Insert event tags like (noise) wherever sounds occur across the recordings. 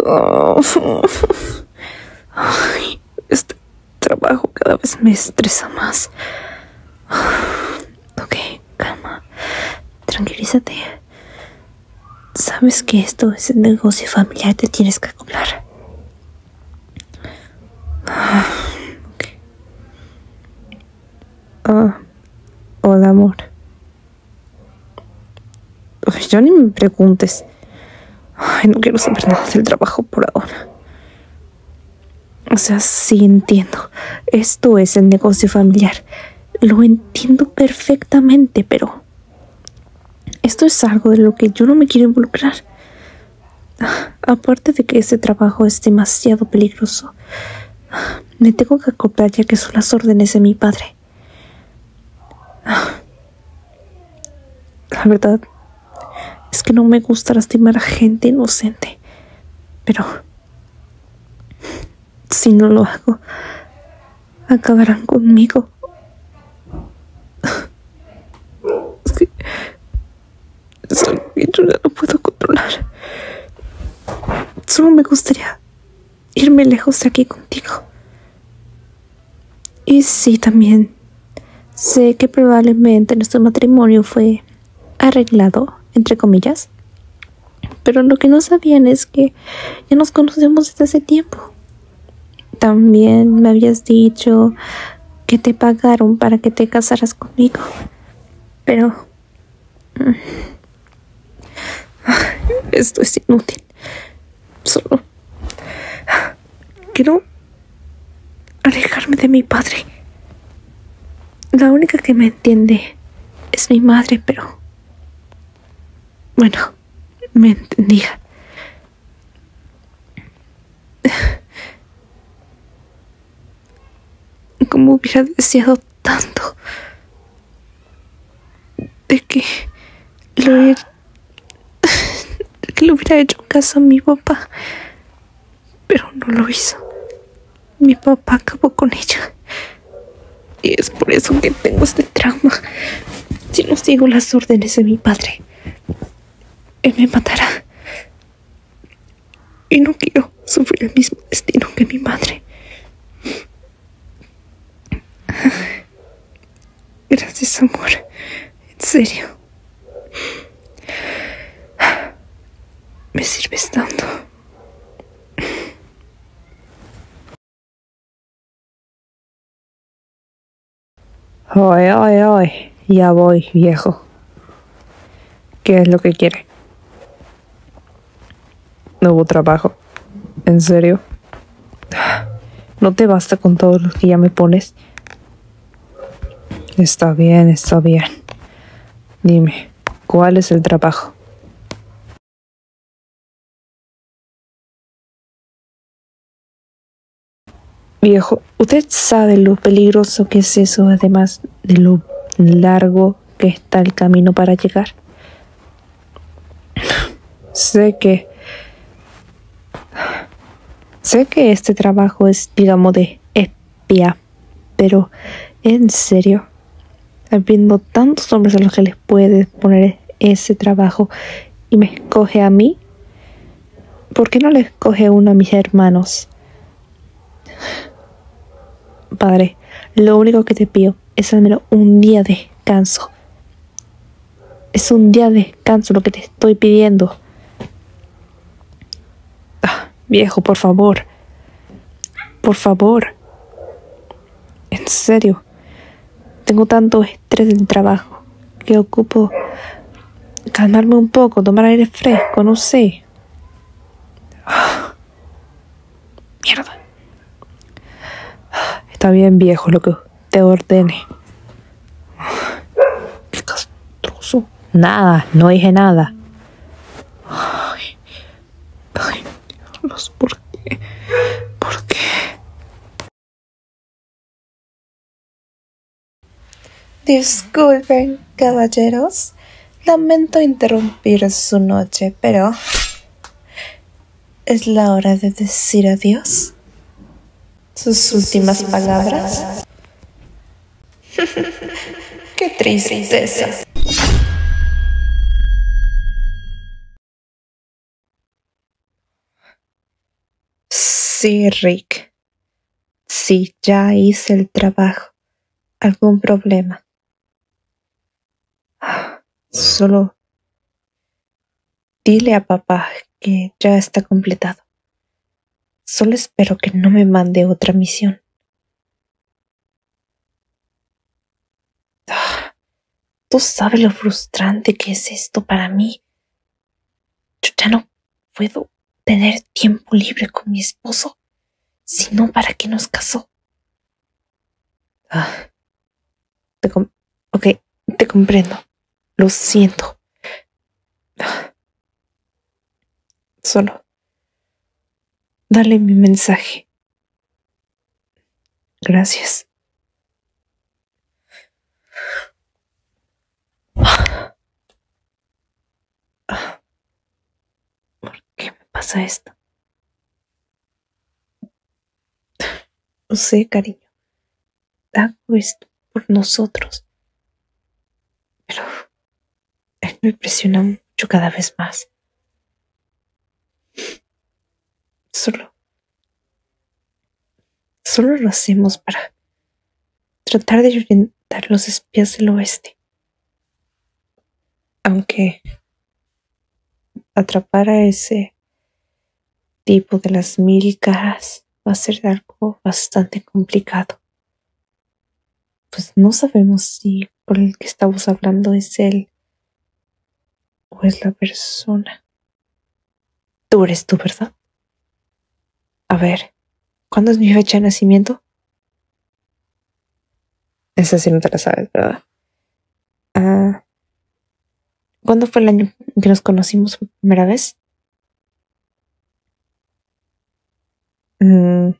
(laughs) este trabajo cada vez me estresa más. (sighs) Ok, calma. Tranquilízate. Sabes que esto es el negocio familiar, te tienes que acoplar. (sighs) Ah, hola amor. Ay, ya ni me preguntes. Ay, no quiero saber nada del trabajo por ahora. O sea, sí entiendo. Esto es el negocio familiar. Lo entiendo perfectamente, pero... Esto es algo de lo que yo no me quiero involucrar. Ah, aparte de que ese trabajo es demasiado peligroso, me tengo que acoplar ya que son las órdenes de mi padre. (sighs) La verdad es que no me gusta lastimar a gente inocente, pero si no lo hago, acabarán conmigo. (sighs) Es que yo no puedo controlar. Solo me gustaría irme lejos de aquí contigo. Y sí, también sé que probablemente nuestro matrimonio fue arreglado, entre comillas, pero lo que no sabían es que ya nos conocemos desde hace tiempo. También me habías dicho que te pagaron para que te casaras conmigo, pero esto es inútil. Solo quiero alejarme de mi padre. La única que me entiende es mi madre, pero... Bueno, me entendía. Como hubiera deseado tanto de que lo, hubiera hecho caso a mi papá, pero no lo hizo. Mi papá acabó con ella. Y es por eso que tengo este trauma. Si no sigo las órdenes de mi padre, él me matará. Y no quiero sufrir el mismo destino que mi madre. Gracias, amor. En serio. Me sirves tanto. Oye, oye, Ya voy, viejo. ¿Qué es lo que quiere? No hubo trabajo. En serio. No te basta con todos los que ya me pones. Está bien, está bien. Dime, ¿cuál es el trabajo? Viejo, usted sabe lo peligroso que es eso, además de lo largo que está el camino para llegar. sé que... Sé que este trabajo es, digamos, de espía, pero en serio, habiendo tantos hombres a los que les puede poner ese trabajo y me escoge a mí, ¿por qué no le escoge uno a mis hermanos? Padre, lo único que te pido es al menos un día de descanso. Es un día de descanso lo que te estoy pidiendo. Ah, viejo, por favor. Por favor. En serio. Tengo tanto estrés del trabajo que ocupo calmarme un poco, tomar aire fresco, no sé. Ah. Mierda. Está bien, viejo, lo que te ordene. Qué castroso. Nada, no dije nada. Ay, ay, ¿por qué? ¿Por qué? Disculpen, caballeros. Lamento interrumpir su noche, pero... Es la hora de decir adiós. Sus últimas palabras. (laughs) Qué tristeza. Sí, Rick. Sí, ya hice el trabajo. ¿Algún problema? Solo dile a papá que ya está completado. Solo espero que no me mande otra misión. Ah, tú sabes lo frustrante que es esto para mí. Yo ya no puedo tener tiempo libre con mi esposo. Si no, ¿para qué nos casó? Ah, te ok, te comprendo. Lo siento. Ah. solo. Dale mi mensaje. Gracias. Ah. ¿Por qué me pasa esto? Lo sé, cariño. Hago esto por nosotros. Pero me presiona mucho cada vez más. Solo. Solo lo hacemos para tratar de orientar los espías del oeste aunque atrapar a ese tipo de las mil caras va a ser algo bastante complicado. Pues no sabemos si con el que estamos hablando es él o es la persona. Tú eres tú, ¿verdad? A ver, ¿cuándo es mi fecha de nacimiento? Esa sí no te la sabes, ¿verdad? Ah, ¿Cuándo fue el año que nos conocimos por primera vez? Mm,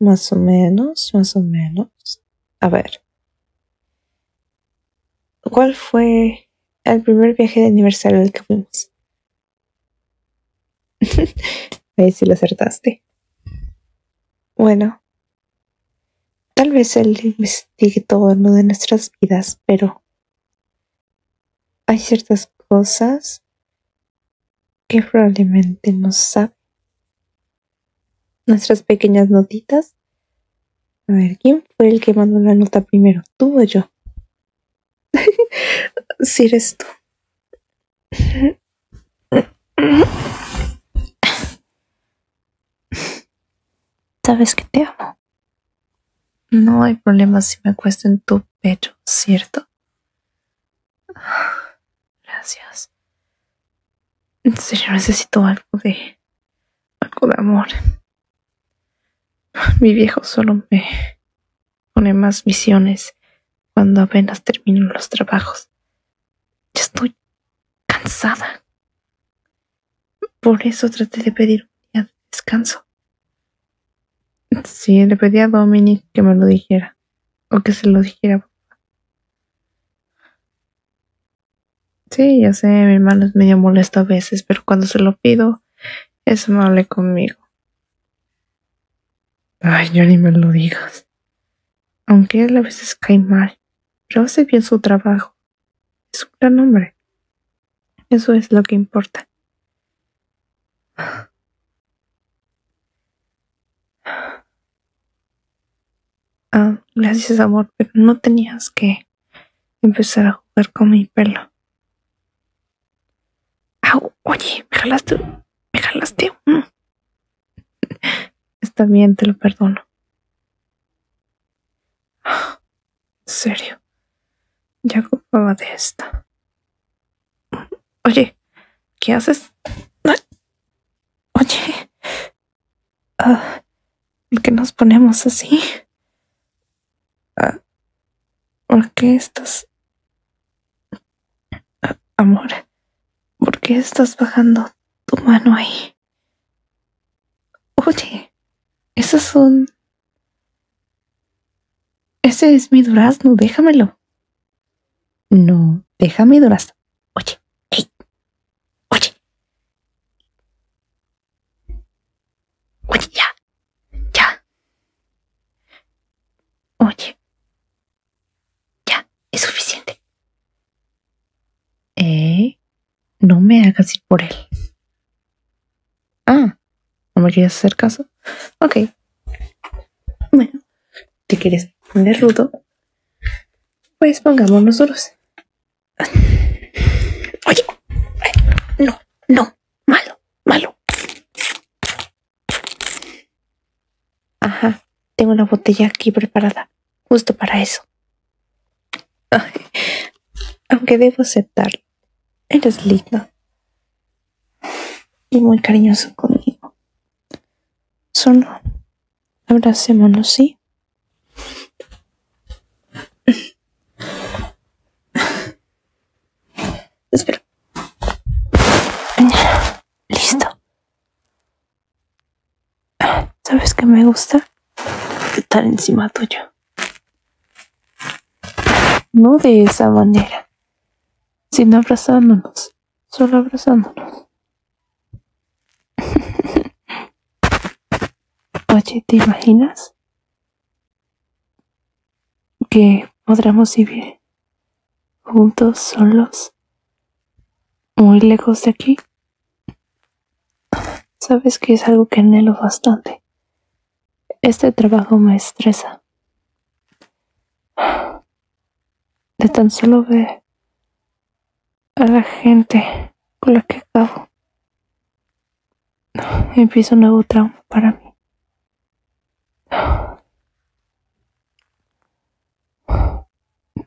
más o menos, más o menos. A ver. ¿Cuál fue el primer viaje de aniversario del que fuimos? ver (laughs) si lo acertaste. Bueno, tal vez él investigue todo lo de nuestras vidas, pero hay ciertas cosas que probablemente no sabe. Nuestras pequeñas notitas. A ver, ¿quién fue el que mandó la nota primero? ¿Tú o yo? si (laughs) eres tú. Sabes que te amo. No hay problema si me acuesto en tu pecho, ¿cierto? Gracias. En serio, necesito algo de... algo de amor. Mi viejo solo me pone más visiones cuando apenas termino los trabajos. Ya estoy cansada. Por eso traté de pedir un día de descanso. Sí, le pedí a Dominic que me lo dijera, o que se lo dijera Sí, ya sé, mi hermano es medio molesto a veces, pero cuando se lo pido, es amable conmigo. Ay, yo ni me lo digas. Aunque a a veces cae mal, pero hace bien su trabajo. Es un gran hombre. Eso es lo que importa. Ah, gracias amor, pero no tenías que empezar a jugar con mi pelo. Au, oye, me jalaste, me jalaste. Mm. Está bien, te lo perdono. En serio, ya ocupaba de esta. Oye, ¿qué haces? Oye, ah, ¿por qué nos ponemos así? Ah, ¿Por qué estás... Ah, amor, ¿por qué estás bajando tu mano ahí? Oye, esas son... Ese es mi durazno, déjamelo. No, déjame mi durazno. Oye, oye. Oye, ya. Ya. Oye. Ya, es suficiente. ¿Eh? No me hagas ir por él. Ah, ¿no me quieres hacer caso? Ok. Bueno, ¿te quieres poner rudo? Pues pongámonos duros, Oye, no, no, Malo, malo. Ajá, tengo una botella aquí preparada, justo para eso. Aunque debo aceptar. eres lindo y muy cariñoso conmigo. Solo abracémonos, ¿sí? Espera. Listo. ¿Sabes qué me gusta? Estar encima tuyo. No de esa manera, sino abrazándonos, solo abrazándonos. (laughs) Oye, ¿te imaginas? que podremos vivir juntos, solos, muy lejos de aquí. Sabes que es algo que anhelo bastante. Este trabajo me estresa. De tan solo ver a la gente con la que acabo. Empieza un nuevo trauma para mí.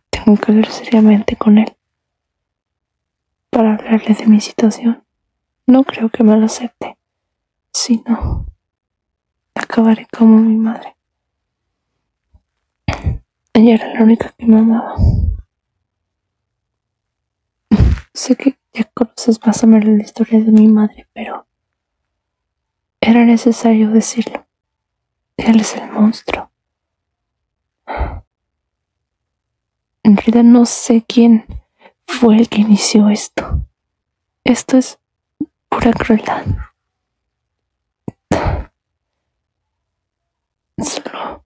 Tengo que hablar seriamente con él para hablarle de mi situación. No creo que me lo acepte. Si no, acabaré como mi madre. Ella era la única que me amaba sé que ya conoces más o menos la historia de mi madre, pero era necesario decirlo. Él es el monstruo. En realidad no sé quién fue el que inició esto. Esto es pura crueldad. Solo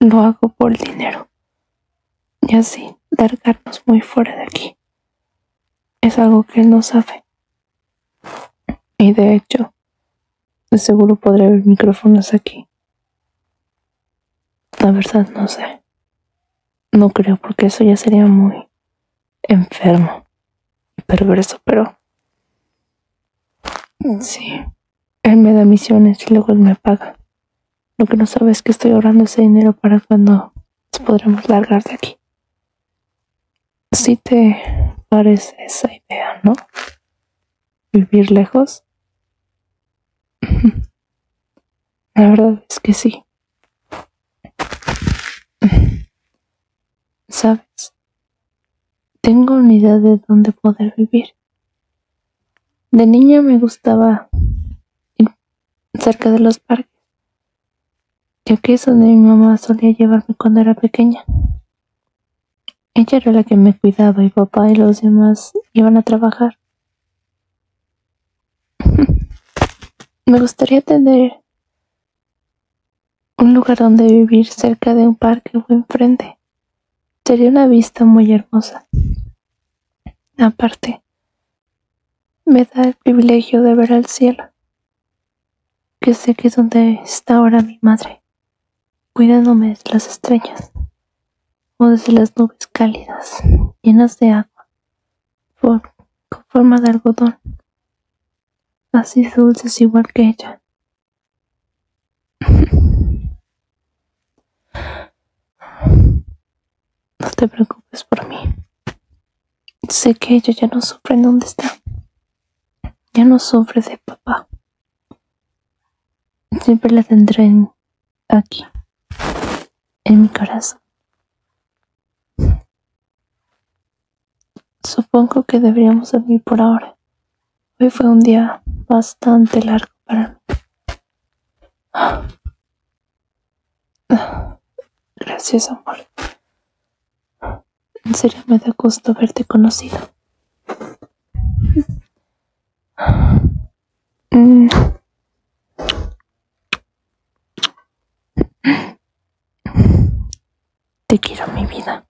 lo hago por el dinero. Y así largarnos muy fuera de aquí. Es algo que él no sabe. Y de hecho, seguro podré ver micrófonos aquí. La verdad no sé. No creo porque eso ya sería muy enfermo y perverso, pero... Sí. Él me da misiones y luego él me paga. Lo que no sabes es que estoy ahorrando ese dinero para cuando podremos largar de aquí. Si te parece esa idea, ¿no? Vivir lejos. (laughs) La verdad es que sí. ¿Sabes? Tengo una idea de dónde poder vivir. De niña me gustaba ir cerca de los parques, ya que es donde mi mamá solía llevarme cuando era pequeña. Ella era la que me cuidaba y papá y los demás iban a trabajar. (laughs) me gustaría tener un lugar donde vivir cerca de un parque o enfrente Sería una vista muy hermosa. Aparte, me da el privilegio de ver al cielo, que sé que es donde está ahora mi madre, cuidándome de las estrellas o de las nubes cálidas, llenas de agua, con forma de algodón, así dulces igual que ella, no te preocupes por mí. Sé que ella ya no sufre en donde está. Ya no sufre de papá. Siempre la tendré aquí, en mi corazón. Supongo que deberíamos dormir por ahora. Hoy fue un día bastante largo para mí. Gracias, amor. En serio me da gusto verte conocido. Mm. Te quiero mi vida.